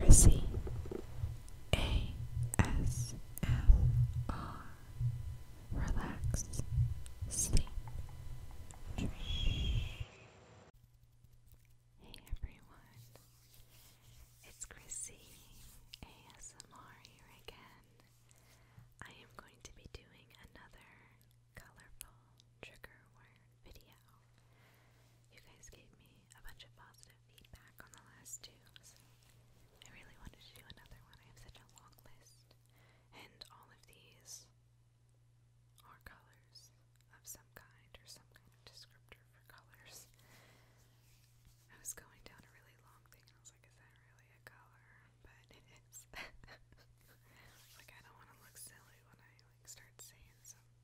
Mercy Relax Sleep Dream Hey everyone It's Chrissy ASMR here again. I am going to be doing another colorful trigger video. You guys gave me a bunch of positive feedback on the last two, so I really wanted to do another one. I have such a long list, and all of these are colors of some kind or some kind of descriptor for colors. I was going down a really long thing, and I was like, "Is that really a color?" But it is. like I don't want to look silly when I like start saying some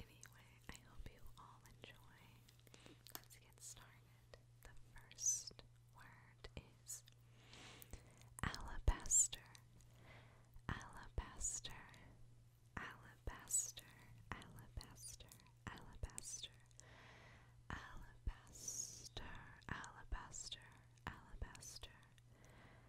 anyway, I hope you all enjoy. Let's get started. The first word is alabaster. Alabaster. Alabaster. Alabaster. Alabaster. Alabaster. Alabaster. Alabaster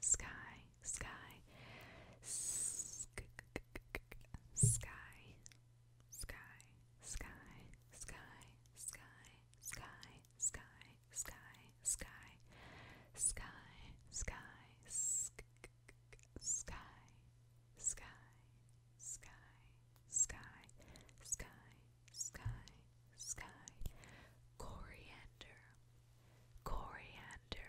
sky, sky, sky, sky, sky, sky, sky, sky, sky, sky, sky, sky, sky, sky, sky, sky, coriander, coriander,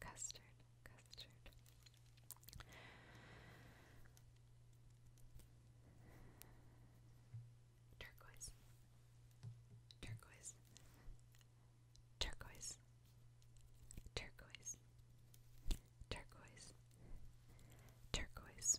Custard, custard. Turquoise, turquoise, turquoise, turquoise, turquoise, turquoise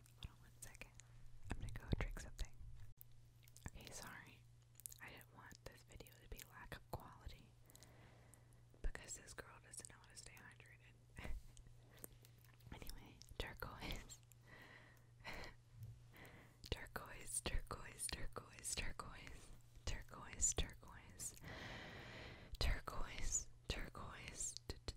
Hold on one second. I'm gonna go drink something. Okay, sorry. I didn't want this video to be lack of quality because this girl doesn't know how to stay hydrated. anyway, turquoise. turquoise, turquoise, turquoise, turquoise, turquoise, turquoise, turquoise, turquoise, turquoise,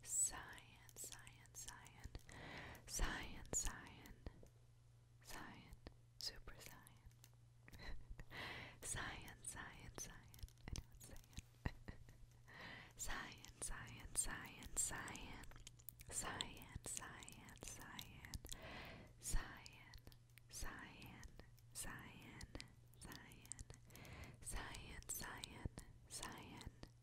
Cyan, cyan, cyan, cyan, cyan, cyan, super cyan, cyan, cyan, cyan. I know it's cyan. cyan, cyan, cyan, cyan, cyan, cyan, cyan, cyan, cyan, cyan, cyan, cyan, cyan, cyan.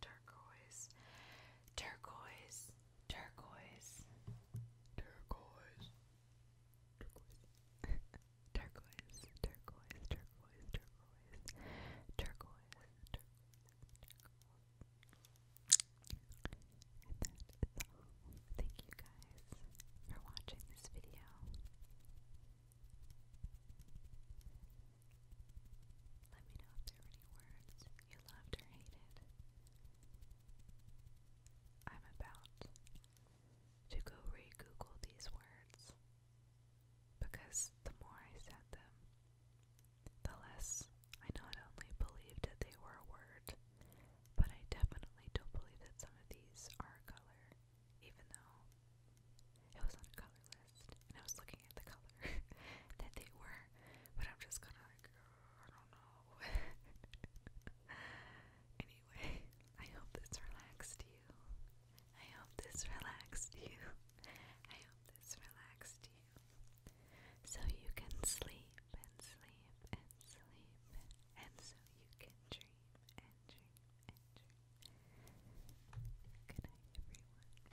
turquoise, turquoise, turquoise, turquoise, turquoise, turquoise, turquoise, turquoise, turquoise, turquoise, turquoise. And that is all. Thank you guys for watching this video. Let me know if there were any words you loved or hated. I'm about to go re Google these words because the more I said them, the less I not only believed that they were a word, but I definitely don't believe that some of these are a color, even though it was on a color obsessed, and I was looking at the color that they were, but I'm just kind of like, I don't know. anyway, I hope this relaxed you. I hope this relaxed you. I hope this relaxed you. So you can sleep and sleep and sleep, and so you can dream and dream and dream. Good night, everyone.